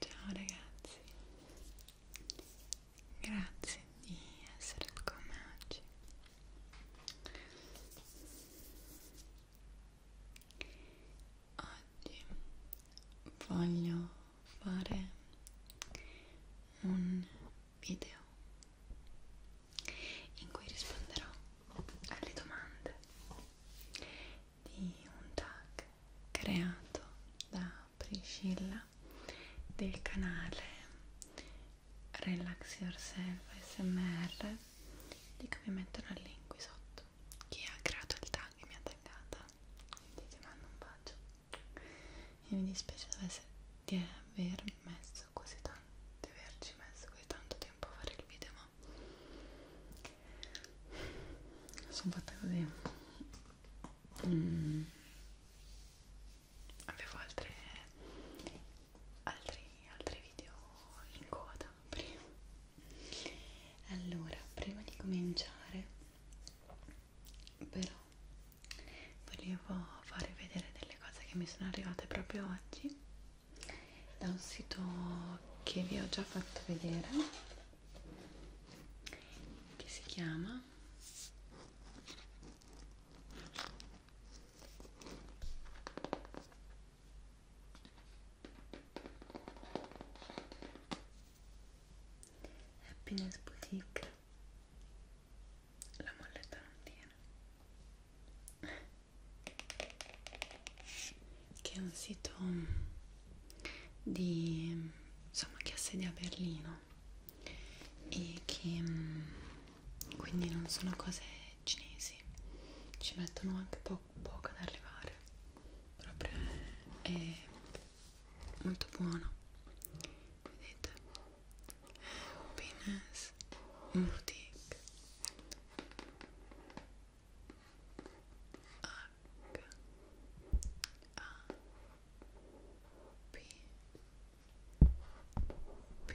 Ciao ragazzi, grazie di essere con me oggi. Oggi voglio fare un video in cui risponderò alle domande di un tag creato da Priscilla del canale Relax Yourself SMR di come metterò il link qui sotto chi ha creato il tag e mi ha taggata quindi ti mando un bacio e mi dispiace di aver messo così tanto di averci messo così tanto tempo a fare il video ma sono fatta così mm. avevo altre altri, altri video in coda prima allora prima di cominciare però volevo farvi vedere delle cose che mi sono arrivate proprio oggi da un sito che vi ho già fatto vedere che si chiama Happiness Boutique la molletta non tiene che è un sito di insomma che ha sede a Berlino e che mm, quindi non sono cose cinesi ci mettono anche poco tardò poco ad arrivare proprio è, è molto buono vedete Happiness Boutique H A P P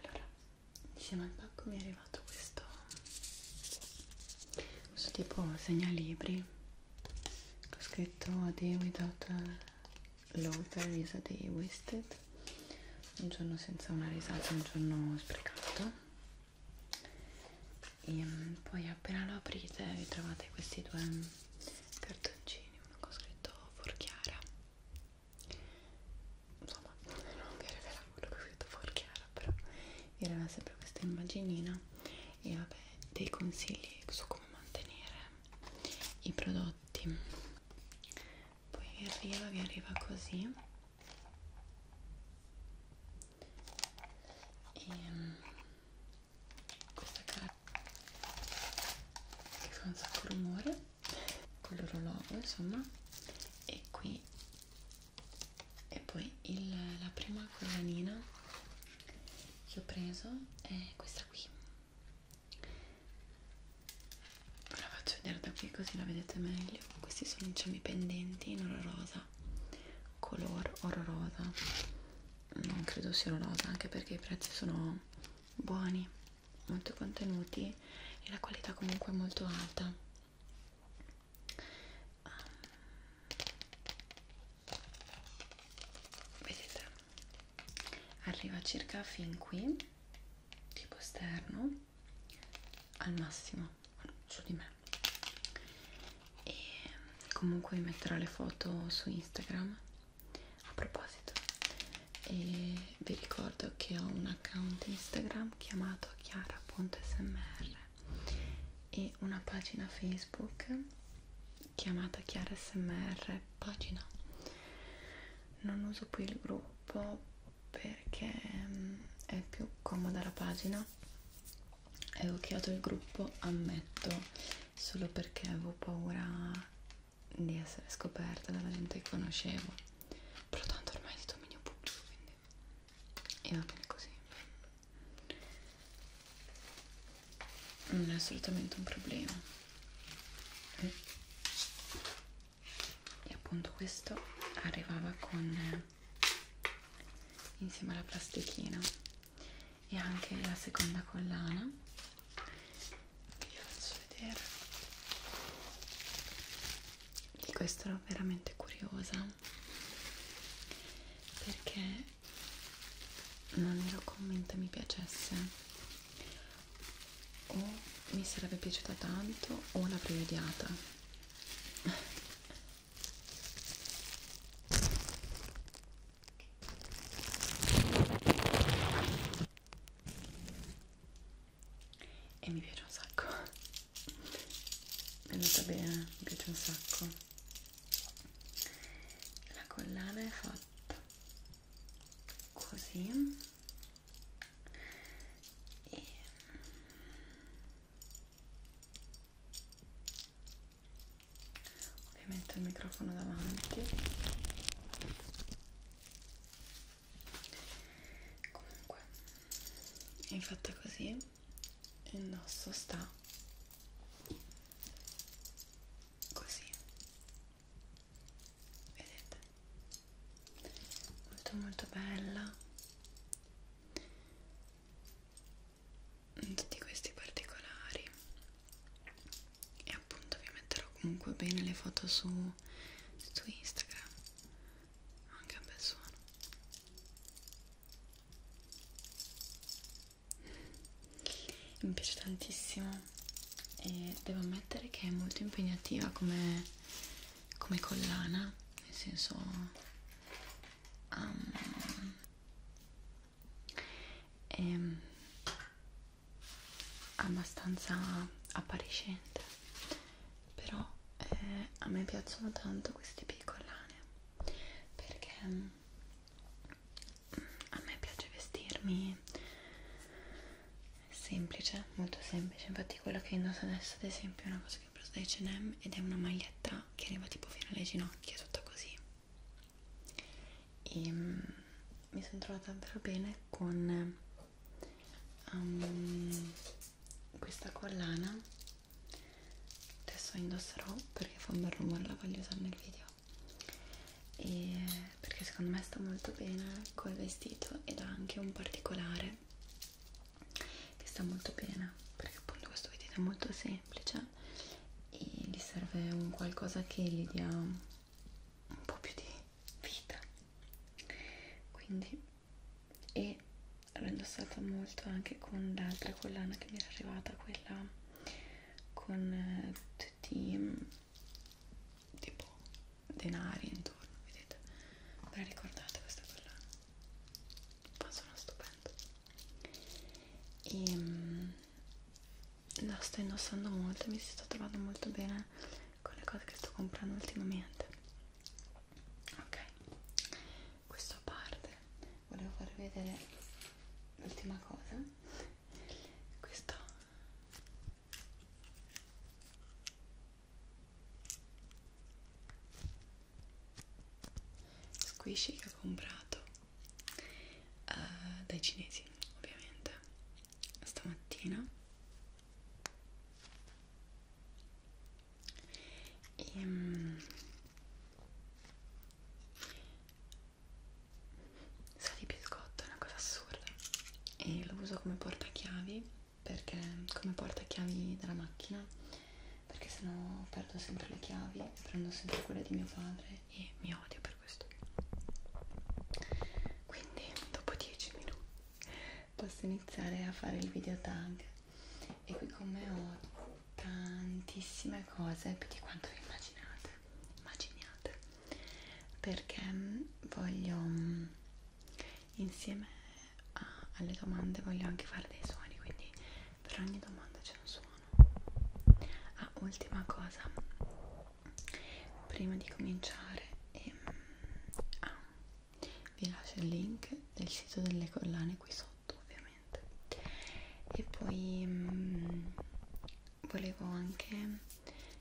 allora insieme al pacco mi è arrivato questo questo tipo segnalibri ho scritto a day without l'author is a day wasted un giorno senza una risata un giorno sprecato e mm, poi appena lo aprite vi trovate questi due cartoncini uno con scritto forchiara insomma non vi arriverà quello che ho detto fuori chiaro però vi arriva sempre questa immaginina e vabbè dei consigli su come mantenere i prodotti poi vi arriva, vi arriva così e ehm, questa carta che fa un sacco rumore con l'orologio insomma e qui e poi il, la prima collanina che ho preso è questa qui ve la faccio vedere da qui così la vedete meglio questi sono diciamo i pendenti in oro rosa color oro rosa non credo sia oro rosa anche perché i prezzi sono buoni molto contenuti e la qualità comunque è molto alta um, vedete arriva circa fin qui tipo esterno al massimo su di me e comunque vi metterò le foto su Instagram a proposito e vi ricordo che ho un account Instagram chiamato chiara.smr e una pagina Facebook chiamata Chiara SMR pagina non uso più il gruppo perché mm, è più comoda la pagina e ho creato il gruppo ammetto solo perché avevo paura di essere scoperta dalla gente che conoscevo, però tanto ormai è di dominio pubblico, quindi e va bene così. Non è assolutamente un problema. E appunto questo arrivava con insieme alla plastichina e anche la seconda collana vi faccio vedere di questo ero veramente curiosa perché non ero convinta mi piacesse o mi sarebbe piaciuta tanto o l'avrei odiata e mi piace un sacco mi è andata bene mi piace un sacco la collana è fatta così e ovviamente il microfono davanti comunque è fatta così il nostro sta così vedete molto molto bella tutti questi particolari e appunto vi metterò comunque bene le foto su, su Instagram anche un bel suono mi piace tantissimo e devo ammettere che è molto impegnativa come, come collana nel senso um, e, ehm, abbastanza appariscente però eh, a me piacciono tanto queste piccolane perché mm, a me piace vestirmi semplice, molto semplice infatti quello che indosso adesso ad esempio è una cosa che ho preso da H&M ed è una maglietta che arriva tipo fino alle ginocchia tutta così e ehm, mi sono trovata davvero bene con um, questa collana adesso indosserò perché fa un bel rumore la voglio usare nel video e perché secondo me sta molto bene col vestito ed ha anche un particolare che sta molto bene perché appunto questo vestito è molto semplice e gli serve un qualcosa che gli dia un po' più di vita quindi e l'ho indossata molto anche con l'altra collana che mi era arrivata quella con eh, tutti mm, tipo denari intorno vedete ve la ricordate questa collana ma sono stupendo e mm, la sto indossando molto mi sto trovando molto bene con le cose che sto comprando ultimamente ok questo a parte volevo farvi vedere l'ultima cosa questo squishy che ho comprato uh, dai cinesi ovviamente stamattina e um, sa di biscotto è una cosa assurda e lo uso come portachiavi perché come portachiavi della macchina perché sennò perdo sempre le chiavi prendo sempre quelle di mio padre e mi odio per questo quindi dopo 10 minuti posso iniziare a fare il video tag e qui con me ho tantissime cose più di quanto vi immaginate immaginiate perché mm, voglio mm, insieme a, alle domande voglio anche fare dei suoni quindi per ogni domanda c'è un suono ah ultima cosa prima di cominciare ehm, ah, vi lascio il link del sito delle collane qui sotto ovviamente e poi ehm, volevo anche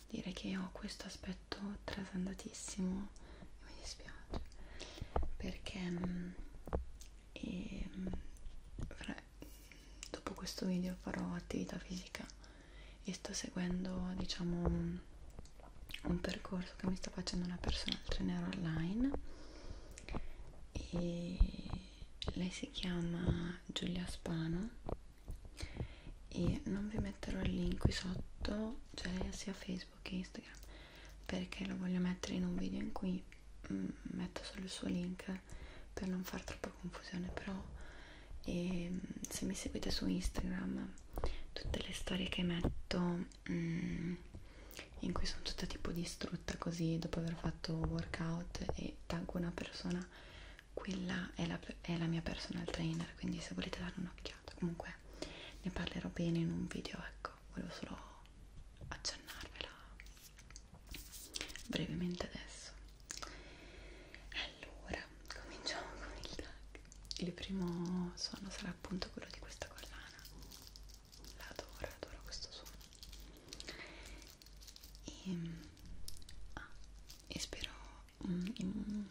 dire che ho questo aspetto trasandatissimo mi dispiace perché ehm, ehm, fra, dopo questo video farò attività fisica e sto seguendo diciamo un percorso che mi sta facendo una personal trainer online e lei si chiama Giulia Spano e non vi metterò il link qui sotto cioè lei ha sia Facebook che Instagram perché lo voglio mettere in un video in cui mm, metto solo il suo link per non far troppa confusione però e mm, se mi seguite su Instagram tutte le storie che metto mm, in cui sono tutta tipo distrutta così dopo aver fatto workout e taggo una persona quella è la, è la mia personal trainer quindi se volete dare un'occhiata comunque ne parlerò bene in un video ecco volevo solo accennarvela brevemente adesso allora, cominciamo con il tag. Il primo suono sarà appunto quello di questa collana. L'adoro, adoro questo suono. E, ehm, ah, e spero in, mm, in,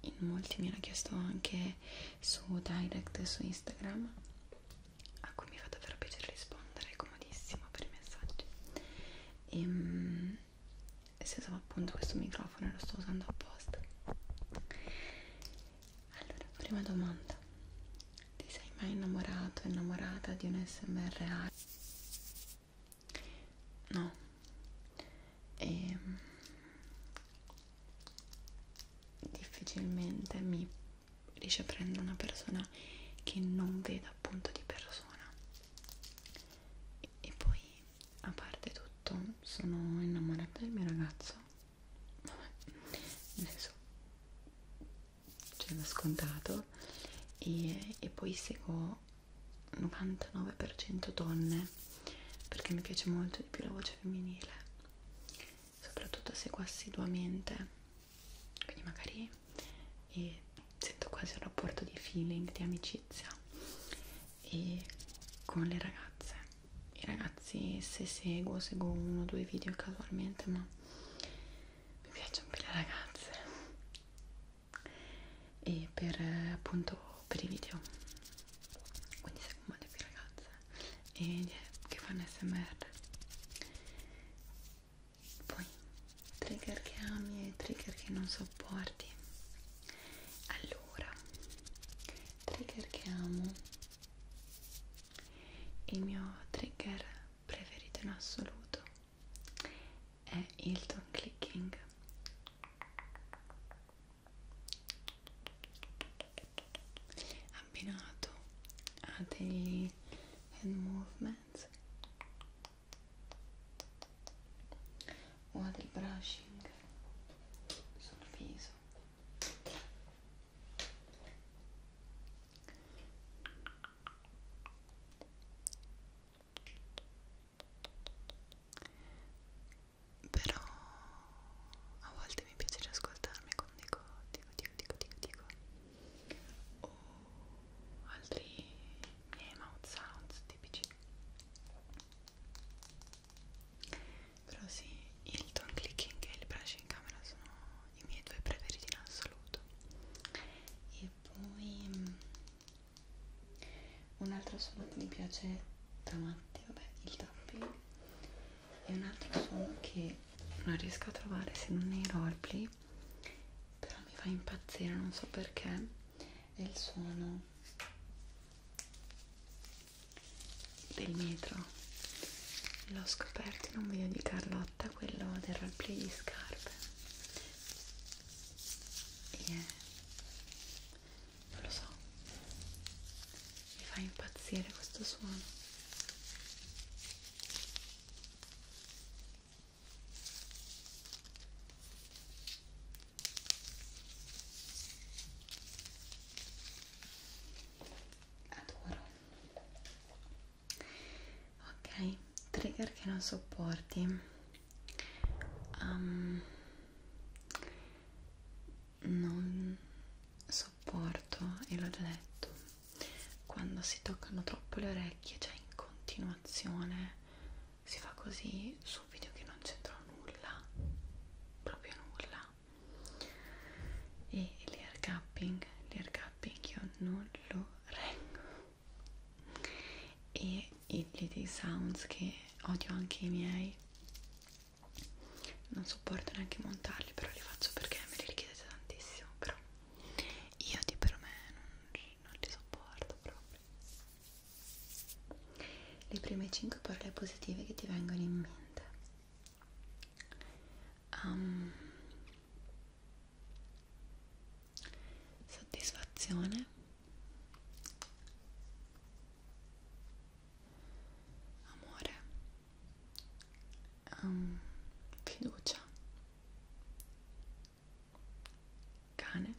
in molti mi hanno chiesto anche su direct su Instagram a cui mi fa davvero piacere rispondere, è comodissimo per i messaggi. E, ehm, e si usava appunto questo microfono e lo sto usando apposta allora prima domanda ti sei mai innamorato innamorata di un smr no e ehm, difficilmente mi riesce a prendere una persona che non veda appunto di persona e poi a parte tutto sono innamorata del mio ragazzo nel senso ce l'ho scontato e, e poi seguo 99% donne perché mi piace molto di più la voce femminile soprattutto seguo assiduamente quindi magari e sento quasi un rapporto di feeling, di amicizia e con le ragazze i ragazzi se seguo, seguo uno o due video casualmente ma mi piacciono più le ragazze e per appunto per i video quindi seguo molte più ragazze e che fanno smr poi trigger che ami e trigger che non sopporti allora trigger che amo il mio trigger preferito in assoluto è il tongue clicking abbinato a degli hand movements o del brushing sul viso però a volte mi piace riascoltarmi quando dico dico dico dico dico, dico. o altri miei mouth sounds tipici però sì, il tone clicking e il brush in camera sono i miei due preferiti in assoluto e poi um, un altro suono che mi piace da matti, vabbè, il tapping e un altro suono che non riesco a trovare se non nei roleplay però mi fa impazzire, non so perché e il suono del metro l'ho scoperto in un video di Carlotta quello del roleplay di scarpe e non lo so mi fa impazzire questo suono adoro ok trigger che non sopporti um, non sopporto e l'ho già detto quando si toccano troppo le orecchie cioè in continuazione si fa così su un video che non c'entrò nulla proprio nulla e l'air capping l'air capping io non lo reggo e i little sounds che odio anche i miei non sopporto neanche montarli però li faccio perché me li richiedete tantissimo però io di per me non, non li sopporto proprio le prime 5 parole positive che ti vengono in mente um, soddisfazione amore um, fiducia cane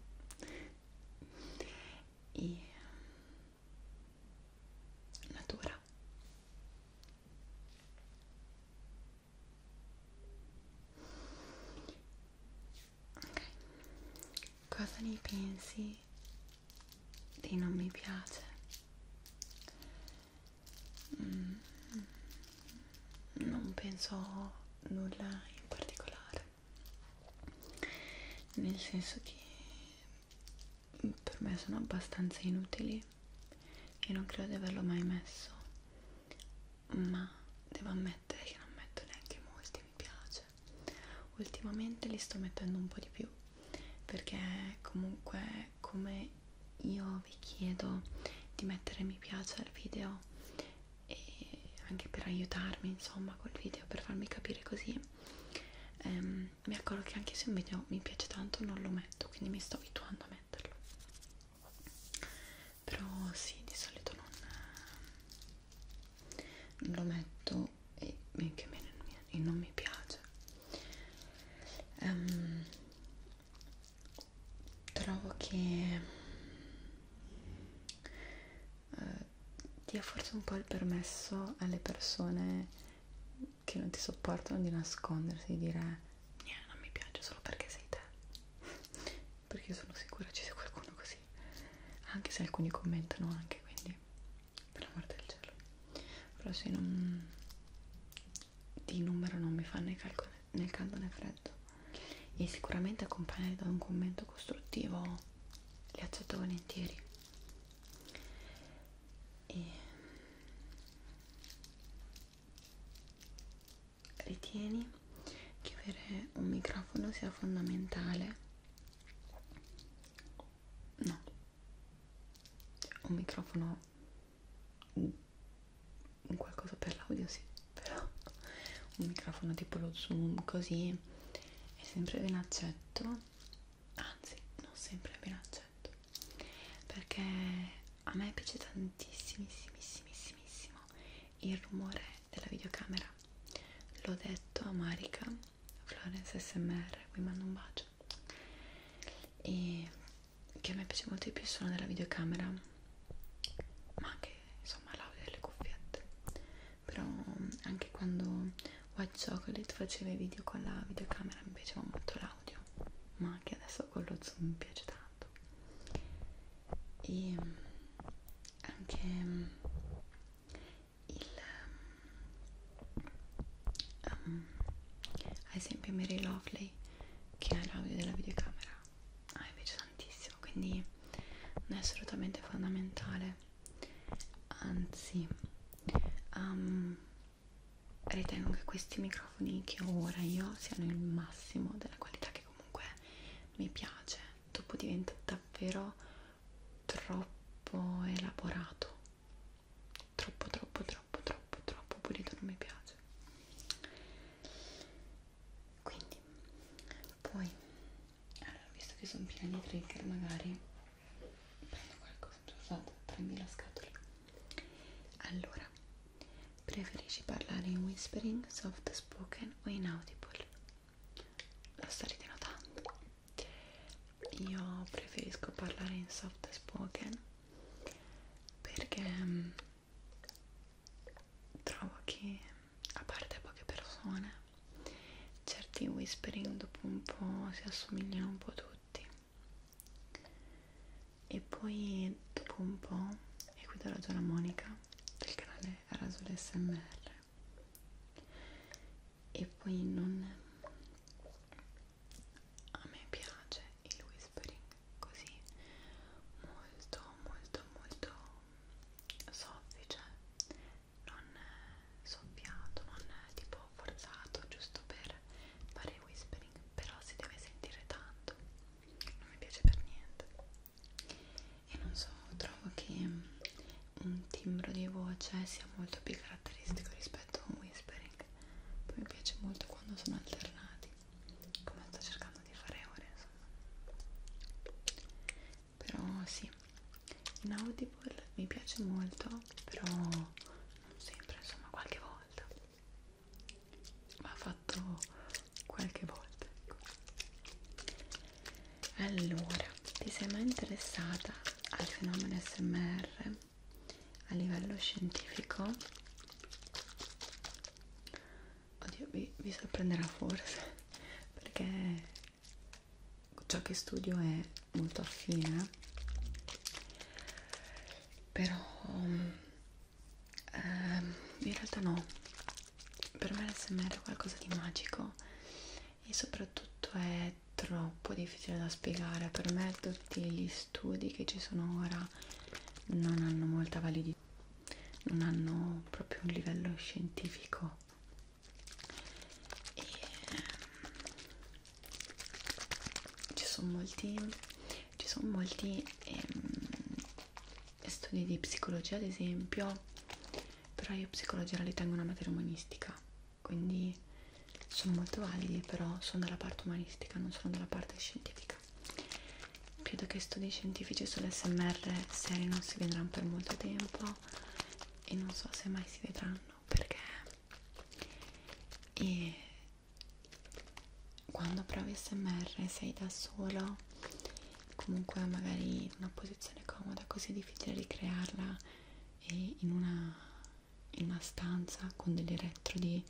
e um, natura ok cosa ne pensi dei non mi piace mm non penso nulla in particolare nel senso che per me sono abbastanza inutili e non credo di averlo mai messo ma devo ammettere che non metto neanche molti mi piace ultimamente li sto mettendo un po' di più perché comunque come io vi chiedo di mettere mi piace al video e anche per aiutarmi insomma col video per farmi capire così ehm, mi accorgo che anche se un video mi piace tanto non lo metto quindi mi sto abituando a metterlo però sì di solito non, non lo metto e anche me non mi piace um, trovo che eh, dia forse un po' il permesso alle persone che non ti sopportano di nascondersi, di dire non mi piace solo perché sei te perché io sono sicura ci sia qualcuno così anche se alcuni commentano anche quindi per l'amor del cielo però se non di numero non mi fanno i calcoli nel caldo né freddo e sicuramente accompagnati da un commento costruttivo li accetto volentieri e ritieni che avere un microfono sia fondamentale no un microfono un qualcosa per l'audio sì però un microfono tipo lo zoom così è sempre ben accetto anzi non sempre ben accetto perché a me piace tantissimissimissimo il rumore della videocamera l'ho detto a Marika Florence SMR qui mando un bacio e che a me piace molto di più il suono della videocamera ma anche insomma l'audio delle cuffiette però mm, anche quando White Chocolate faceva i video con la videocamera mi piaceva molto l'audio ma anche adesso con lo zoom mi piace tanto e mm, anche mm, il um, ad esempio Mary Lovely che ha l'audio della videocamera ah, invece tantissimo quindi non è assolutamente fondamentale anzi um, ritengo che questi microfoni che ho ora io siano il massimo della qualità che comunque mi piace dopo diventa davvero troppo elaborato troppo troppo troppo troppo troppo pulito non mi piace quindi poi allora visto che sono piena di trigger magari prendo qualcosa usato 3000 scatole allora preferisci parlare in whispering soft spoken o in audible lo starete notando io preferisco parlare in soft spoken perché mm, trovo che a parte poche persone certi whispering dopo un po' si assomigliano un po' tutti e poi dopo un po' e qui do la la Monica del canale Rasol SMR e poi non a me piace il whispering così molto molto molto soffice, cioè, non eh, soffiato, non eh, tipo forzato, giusto per fare whispering, però si deve sentire tanto, non mi piace per niente. E non so, trovo che un timbro di voce sia molto più caratteristico rispetto a un whispering. Poi mi piace molto quando sono alternati, come sto cercando di fare ore insomma però sì in Audible mi piace molto però non sempre insomma qualche volta ma fatto qualche volta ecco. allora ti sei mai interessata al fenomeno SMR a livello scientifico oddio vi, vi sorprenderà forse perché ciò che studio è molto affine però ehm, in realtà no per me l'SMR è qualcosa di magico e soprattutto è troppo difficile da spiegare per me tutti gli studi che ci sono ora non hanno molta validità non hanno proprio un livello scientifico e ehm, ci sono molti, ci sono molti ehm, studi di psicologia ad esempio però io psicologia la ritengo una materia umanistica quindi sono molto validi però sono dalla parte umanistica non sono dalla parte scientifica credo che studi scientifici sull'SMR serie non si vedranno per molto tempo e non so se mai si vedranno perché e quando provi SMR sei da solo comunque magari in una posizione comoda così è difficile ricrearla e in una, in una stanza con degli elettrodi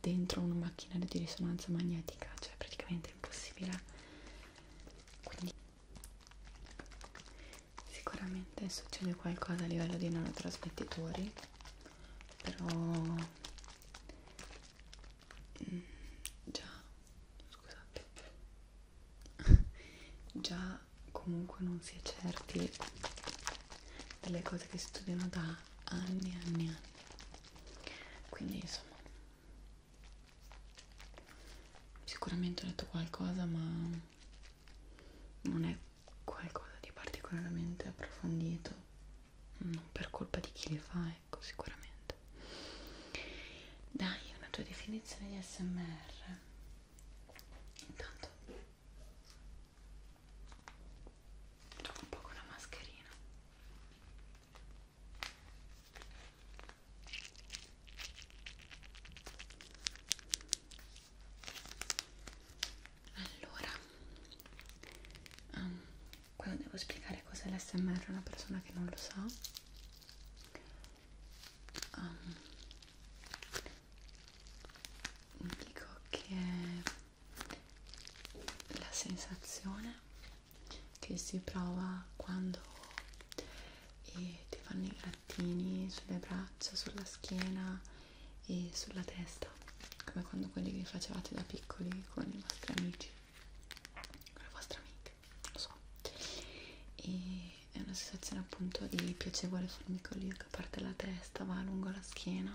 dentro una macchina di risonanza magnetica cioè praticamente è impossibile quindi sicuramente succede qualcosa a livello di nanotrasmettitori però mm, già scusate già comunque non si è certi delle cose che studiano da anni e anni e anni quindi insomma Sicuramente ho letto qualcosa, ma non è qualcosa di particolarmente approfondito, non per colpa di chi le fa, ecco, sicuramente. Dai, una tua definizione di SMR. Intanto un po' con la mascherina. Allora, um, quando devo spiegare cos'è l'SMR a una persona che non lo sa, um, dico che la sensazione che si prova quando e ti fanno i grattini sulle braccia, sulla schiena e sulla testa, come quando quelli che facevate da piccoli con i vostri amici, con le vostre amiche, lo so. E è una sensazione appunto di piacevole formicolio che parte dalla testa, va lungo la schiena,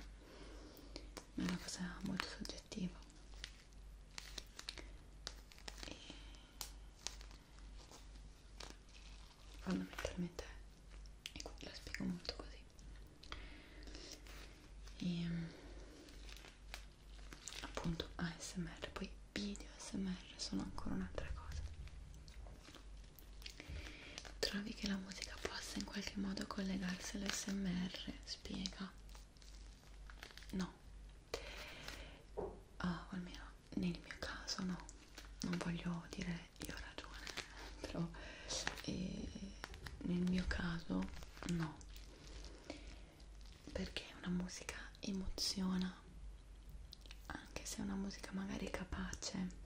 ma è una cosa molto soggettiva e fondamentalmente e quindi la spiego molto così e ehm, appunto ASMR poi video ASMR sono ancora un'altra cosa trovi che la musica possa in qualche modo collegarsi all'ASMR? spiega no Ah, o almeno nel mio caso no, non voglio dire io ho ragione, però eh, nel mio caso no, perché una musica emoziona, anche se è una musica magari capace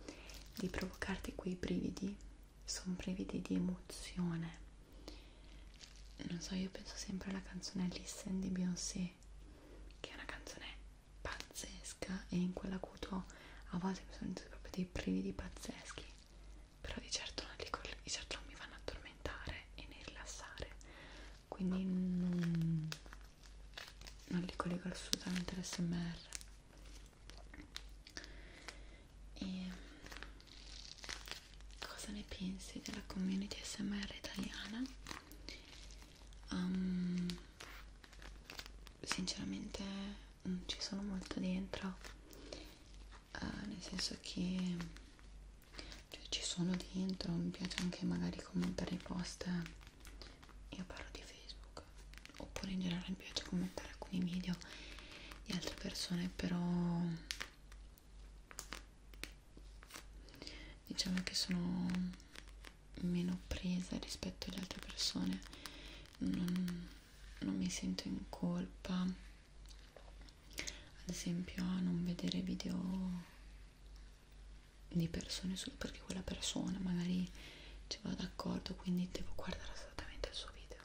di provocarti quei brividi, sono brividi di emozione non so io penso sempre alla canzone Listen di Beyoncé che è una canzone pazzesca e in quell'acuto a volte mi sono sentito proprio dei brividi pazzeschi però di certo, non li, di certo non mi fanno addormentare e ne rilassare quindi non, non li collego assolutamente all'SMR e cosa ne pensi della community smr italiana um, sinceramente non mm, ci sono molto dentro uh, nel senso che cioè, ci sono dentro mi piace anche magari commentare i post io parlo di facebook oppure in generale mi piace commentare alcuni video di altre persone però diciamo che sono meno presa rispetto alle altre persone non, non mi sento in colpa ad esempio a non vedere video di persone solo perché quella persona magari ci va d'accordo quindi devo guardare assolutamente il suo video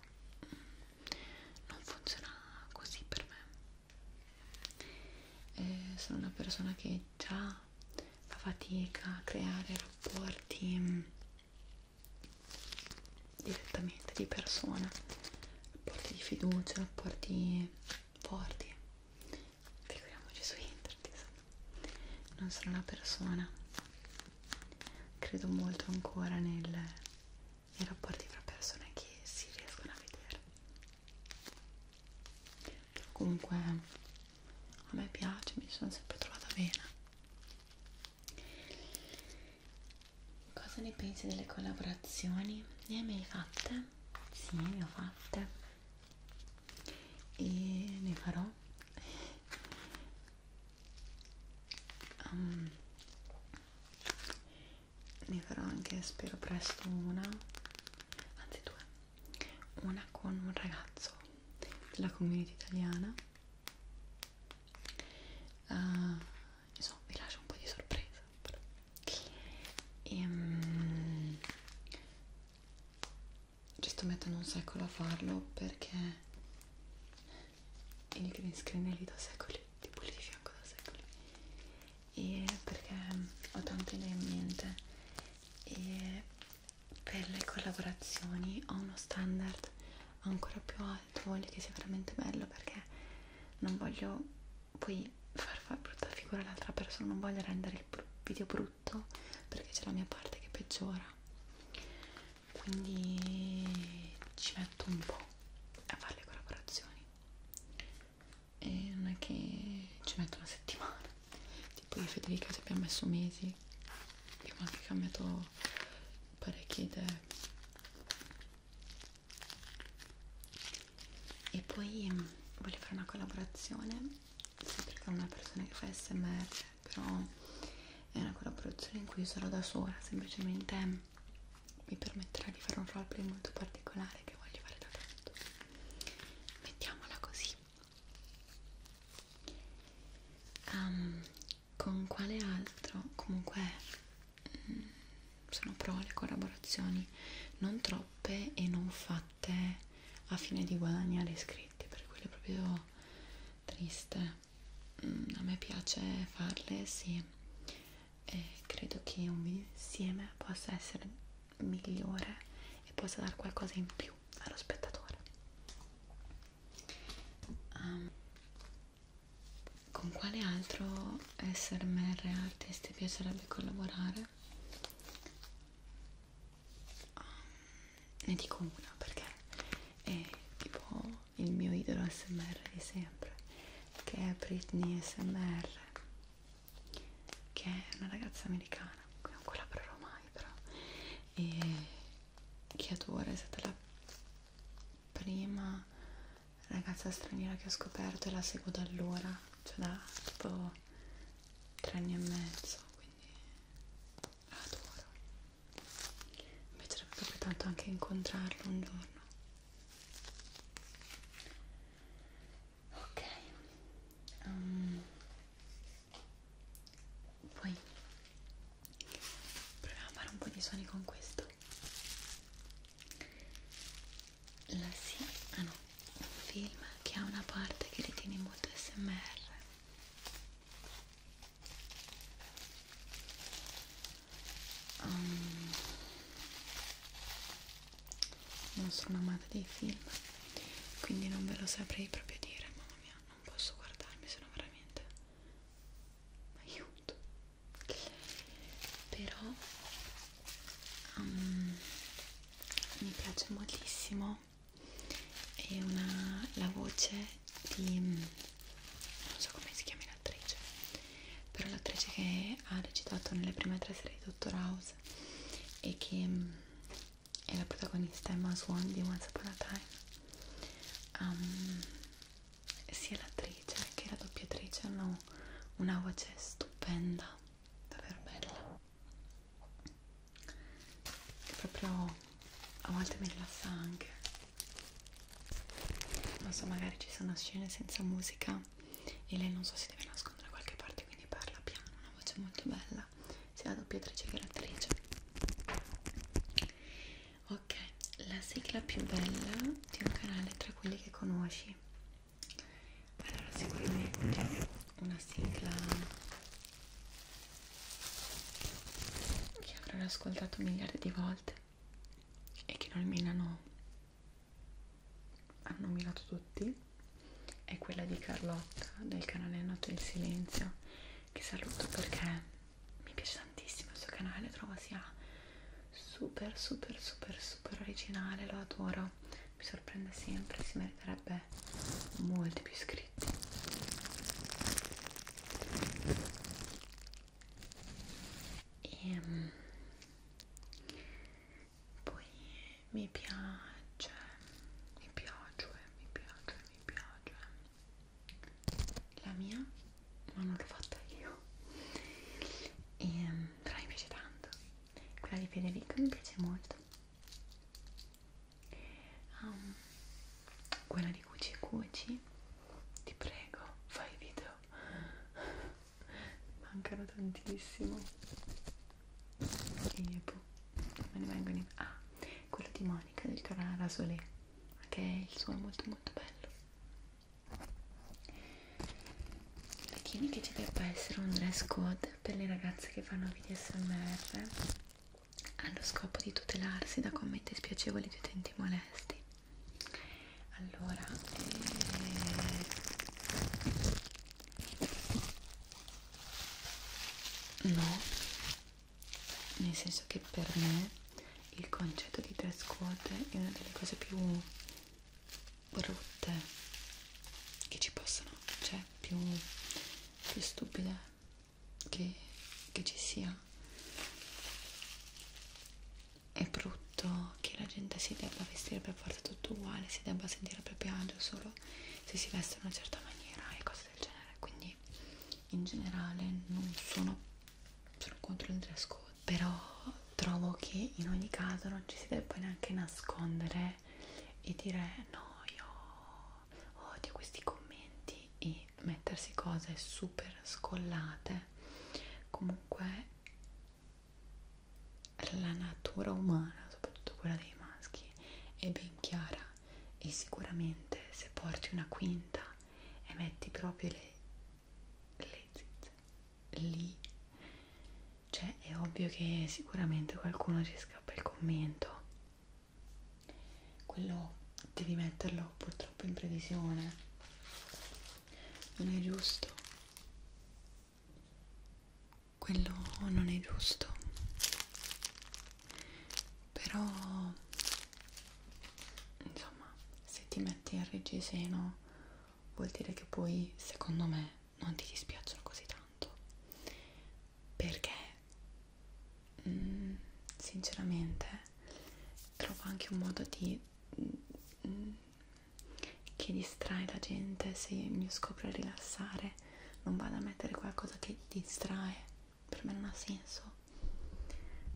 non funziona così per me eh, sono una persona che già fa fatica a creare rapporti mh, mm, direttamente di persona, rapporti di fiducia, rapporti forti, figuriamoci su internet, insomma. non sono una persona, credo molto ancora nel i rapporti fra persone che si riescono a vedere comunque a me piace mi sono sempre trovata bene cosa ne pensi delle collaborazioni? ne hai mai fatte? sì ne ho fatte e ne farò um, ne farò anche spero presto una anzi due una con un ragazzo della community italiana uh, insomma vi lascio un po' di sorpresa però. e um, ci sto mettendo un secolo a farlo perché il green screen è lì da secoli tipo lì di fianco da secoli e perché ho tante idee in mente e per le collaborazioni ho uno standard ancora più alto, voglio che sia veramente bello perché non voglio poi far fare brutta figura all'altra persona, non voglio rendere il video brutto perché c'è la mia parte che peggiora quindi ci metto un po' a fare le collaborazioni e non è che ci metto una settimana tipo io e Federica ci abbiamo messo mesi abbiamo anche cambiato parecchie idee e poi ehm, voglio fare una collaborazione sempre con una persona che fa smr però è una collaborazione in cui sarò da sola semplicemente mi permetterà di fare un roleplay molto particolare che voglio fare da tanto mettiamola così um, con quale altro comunque mh, mm, sono pro le collaborazioni non troppe e non fatte a fine di guadagnare iscritti per quello è proprio triste mm, a me piace farle sì e credo che un video insieme possa essere migliore e possa dare qualcosa in più allo spettatore um, con quale altro SMR artist ti piacerebbe collaborare? Um, ne dico una perché è tipo il mio idolo SMR di sempre che è Britney SMR che è una ragazza americana qui non collaborerò mai però e che adoro è stata la prima ragazza straniera che ho scoperto e la seguo da allora cioè da tipo tre anni e mezzo quindi la adoro mi piacerebbe proprio tanto anche incontrarlo un giorno ok um, poi proviamo a fare un po' di suoni con questo la sì ah no un film che ha una parte che ritiene molto smr um, non sono amata dei film quindi non ve lo saprei proprio dire mamma mia non posso guardarmi sono veramente aiuto però um, mi piace moltissimo è una, la voce di non so come si chiama l'attrice però l'attrice che ha recitato nelle prime tre serie di Doctor House e che mm, è la protagonista Emma Swan di Once Upon a Time um, sia l'attrice che la doppiatrice hanno una voce stupenda davvero bella e proprio a volte mi rilassa anche non so magari ci sono scene senza musica e lei non so si deve nascondere da qualche parte quindi parla piano, una voce molto bella sia la doppiatrice che l'attrice ok, la sigla più bella di un canale tra quelli che conosci allora sicuramente mm. una sigla che avrò ascoltato miliardi di volte e che non minano hanno minato tutti è quella di Carlotta del canale Notte del Silenzio che saluto perché mi piace tantissimo il suo canale trovo sia super super super super originale lo adoro mi sorprende sempre si meriterebbe molti più iscritti e ehm, poi mi piace mi piace mi piace mi piace la mia ma non l'ho fatta io e, ehm, però mi piace tanto quella di Federico mi piace molto um, quella di Cuci Cuci ti prego fai video mancano tantissimo e boh, me ne vengono in... ah, quello di Monica del canale Rasolé che okay, il suo è molto molto bello ritieni che ci debba essere un dress code per le ragazze che fanno video smr allo scopo di tutelarsi da commenti spiacevoli di utenti molesti allora eh... no nel senso che per me il concetto di dress code è una delle cose più brutte che ci possano cioè più, più stupide che, che ci sia è brutto che la gente si debba vestire per forza tutto uguale, si debba sentire a proprio agio solo se si veste in una certa maniera e cose del genere. Quindi in generale non sono, sono contro il dress code, però trovo che in ogni caso non ci si debba neanche nascondere e dire no, io odio questi commenti e mettersi cose super scollate. Comunque la natura umana, soprattutto quella dei maschi, è ben chiara e sicuramente se porti una quinta e metti proprio le, le zizze lì, cioè è ovvio che sicuramente qualcuno ci scappa il commento. Quello devi metterlo purtroppo in previsione, non è giusto quello non è giusto però insomma se ti metti il reggiseno vuol dire che poi secondo me non ti dispiacciono così tanto perché mh, mm, sinceramente trovo anche un modo di mh, mm, che distrae la gente, se il mio scopo è rilassare, non vado a mettere qualcosa che distrae, per me non ha senso.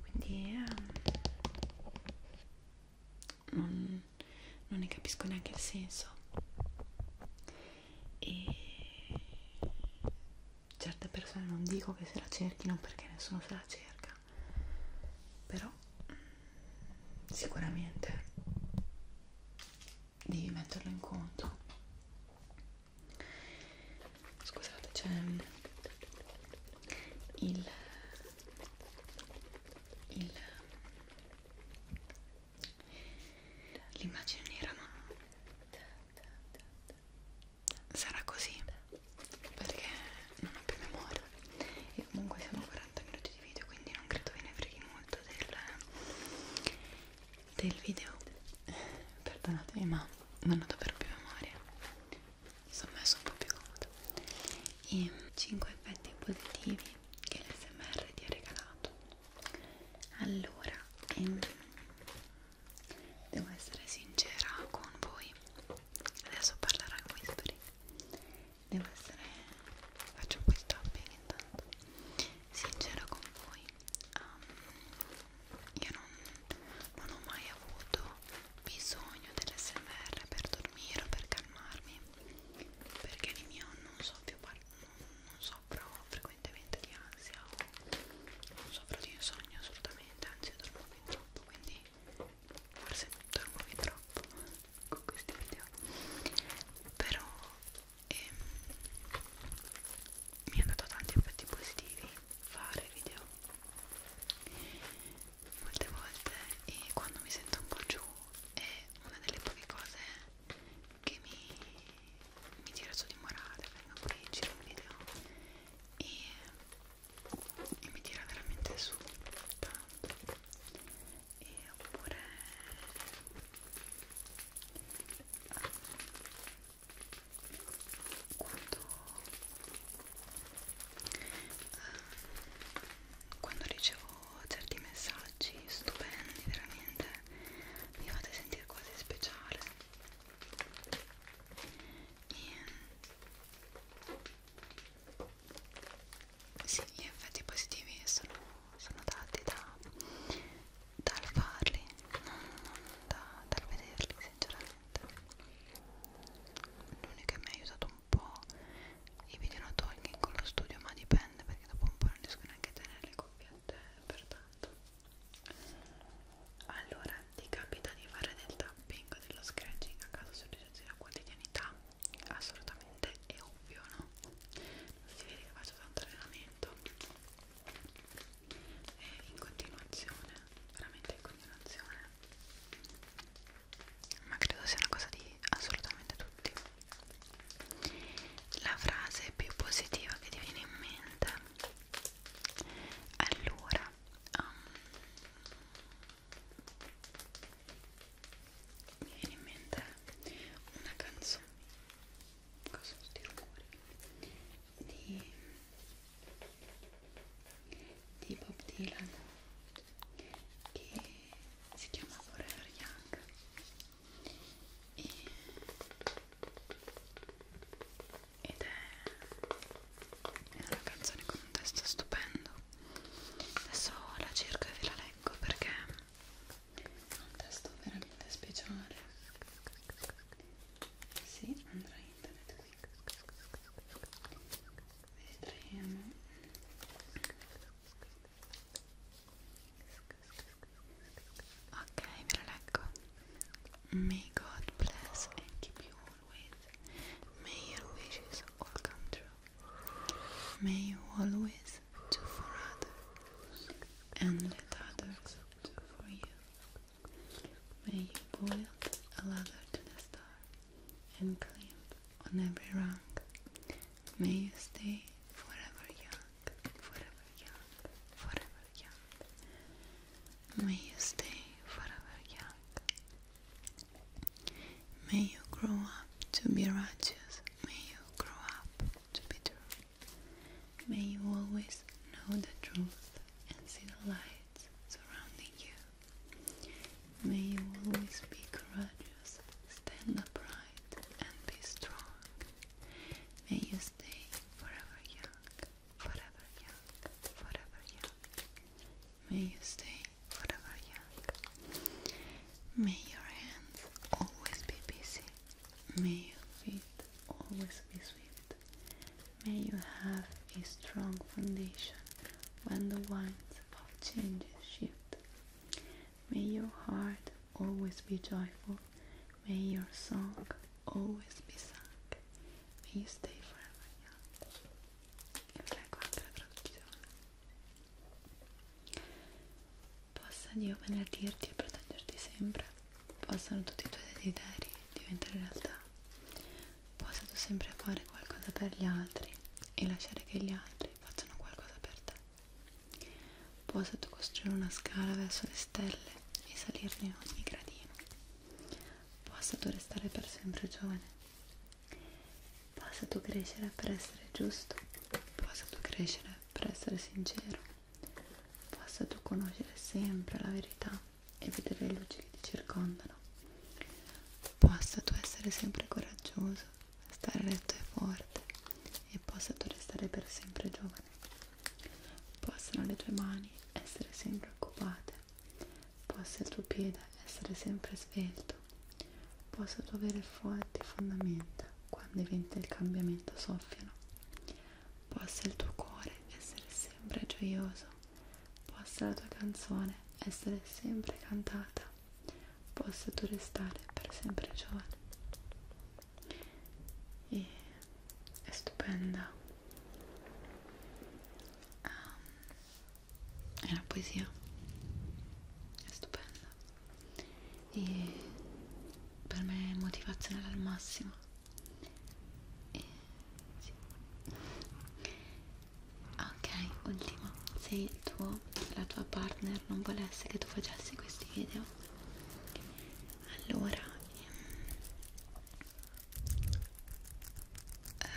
Quindi eh, non, non ne capisco neanche il senso. E certe persone non dico che se la cerchino perché nessuno se la cerca però sicuramente devi metterlo in conto scusate c'è il, il l'immagine nera ma sarà così perché non ho più memoria e comunque siamo a 40 minuti di video quindi non credo ve ne freghi molto del, del video perdonatemi ma non ho davvero più memoria mi sono messo un po' più comodo e 5 effetti positivi che l'SMR ti ha regalato allora ehm, devo essere sincera con voi adesso parlerò in whispering devo essere faccio un po' il shopping intanto sincera con voi um, io non, non ho mai avuto bisogno dell'SMR per dormire o per calmarmi perché di mio non so più non, non soffro frequentemente di ansia o non soffro di insonnia assolutamente anzi dormo fin troppo quindi forse dormovi troppo con questi video però ehm, mi ha dato tanti effetti positivi fare video molte volte e quando mi sento un po' giù è una delle poche cose che mi, mi tira su di morale vengo qui giro un video e e mi tira veramente su tanto e oppure um, quando um, quando ricevo certi messaggi stupendi veramente mi fate sentire quasi speciale e sì, gli effetti positivi sono, sono dati da, dal farli, non, non da, dal vederli sinceramente. L'unico che mi ha aiutato un po' i video no talking con lo studio, ma dipende perché dopo un po' non riesco neanche a tenere le coppiette pertanto. Allora, ti capita di fare del tapping dello scratching a caso sulle la quotidianità? assolutamente è ovvio no? non si vede che faccio tanto allenamento e in continuazione veramente in continuazione ma credo sia una cosa di assolutamente tutti la frase più positiva che ti viene in mente allora um, mi viene in mente una canzone cosa sono questi rumori? di di Bob Dylan che si chiama Forever Young e, ed è, è una canzone con un testo stupendo adesso la cerco e ve la leggo perché è un testo veramente speciale si sì, andrà internet qui vedremo ok ve la leggo may god bless and keep you always may your wishes all come true May you always do for others and let others do for you. May you build a ladder to the stars and climb on every rung. May you stay forever young, forever young, forever young. May you stay forever young, May you grow up to be righteous. May you grow up to be true. May you always know the truth and see the light surrounding you. May you always be courageous, stand upright, and be strong. May you stay forever young, forever young, forever young. May you stay forever young. May your hands always be busy. May your feet always be swift. May you have a strong foundation when the winds of changes shift. May your heart always be joyful. May your song always be sung. May you stay forever young. e leggo anche la traduzione possa Dio benedirti e proteggerti sempre possano tutti i tuoi desideri diventare realtà possa tu sempre fare qualcosa per gli altri e lasciare che gli altri facciano qualcosa per te possa tu costruire una scala verso le stelle e salirne ogni gradino possa tu restare per sempre giovane Basta tu crescere per essere giusto, basta tu crescere per essere sincero, basta tu conoscere sempre la verità e vedere le luci che ti circondano, basta tu essere sempre coraggioso, stare retto e forte e possa tu restare per sempre giovane. Possano le tue mani essere sempre occupate possa il tuo piede essere sempre svelto, possa tu avere forti fondamenta quando i venti del cambiamento soffiano, possa il tuo cuore essere sempre gioioso, possa la tua canzone essere sempre cantata, possa tu restare per sempre giovane. E è stupenda. Um, è una poesia è stupenda e per me è motivazionale al massimo e, sì. ok ultimo se il tuo, la tua partner non volesse che tu facessi questi video allora ehm, ehm,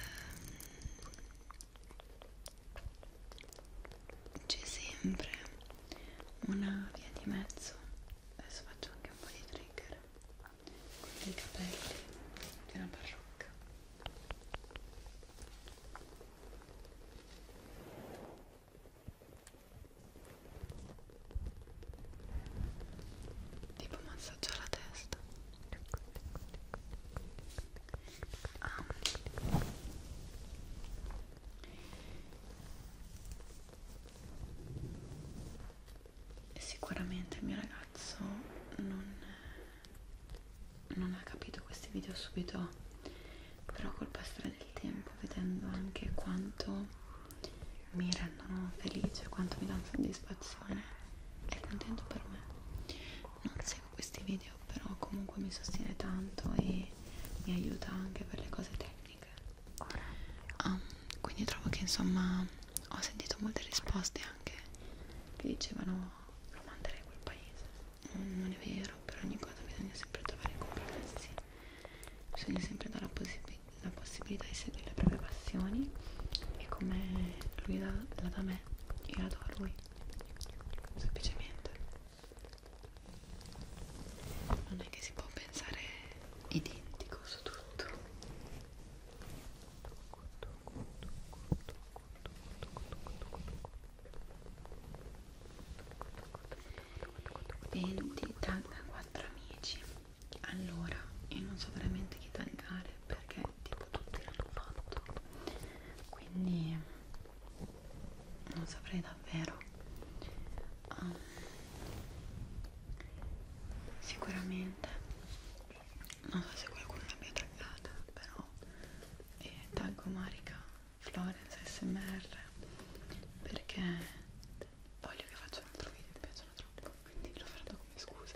c'è sempre una via di mezzo adesso faccio anche un po' di trigger con dei capelli di una parrucca tipo massaggio alla testa Ah. Sicuramente il mio ragazzo non, non ha capito questi video subito, però col passare del tempo, vedendo anche quanto mi rendono felice, quanto mi danno soddisfazione, è contento per me. Non seguo questi video però comunque mi sostiene tanto e mi aiuta anche per le cose tecniche um, quindi trovo che insomma ho sentito molte risposte anche che dicevano lo manderei a quel paese non è vero per ogni cosa bisogna sempre trovare i compromessi bisogna sempre dare la, possib la possibilità di seguire le proprie passioni e come lui la, la da me io la do a lui semplicemente non è che si può pensare identico su tutto Venti, tagga quattro amici allora io non so veramente chi taggare perché tutto, tutto l'hanno fatto quindi non saprei davvero um, sicuramente non so se qualcuno l'abbia taggata però e eh, taggo Marica Florence smr perché voglio che faccia un altro video mi piacciono troppo quindi lo farò come scusa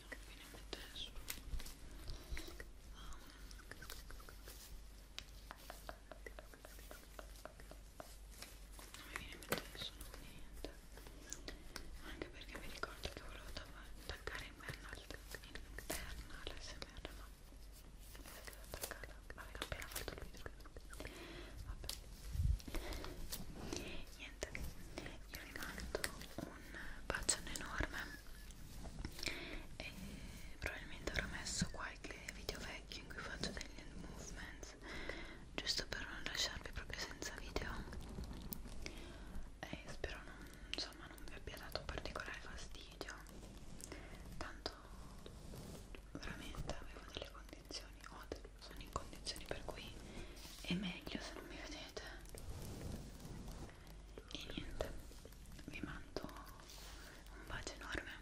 tutti non mi viene in mente nessuno non mi viene in mente nessuno niente anche perché mi ricordo che volevo attaccare in merda interna l'SMR ma mi sa che l'ho attaccata avevo appena fatto il video vabbè niente io vi mando un bacione enorme e probabilmente avrò messo qualche video vecchio in cui faccio degli hand movements giusto per non lasciarvi proprio senza video e spero non, insomma, non vi abbia dato particolare fastidio tanto veramente avevo delle condizioni o sono in condizioni per cui è meglio se non mi vedete e niente vi mando un bacio enorme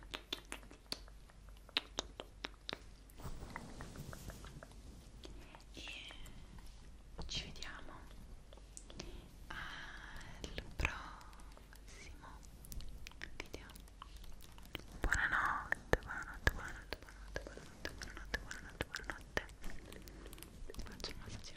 e ci vediamo al prossimo video buonanotte buonanotte buonanotte buonanotte buonanotte buonanotte buonanotte, buonanotte. Ti faccio un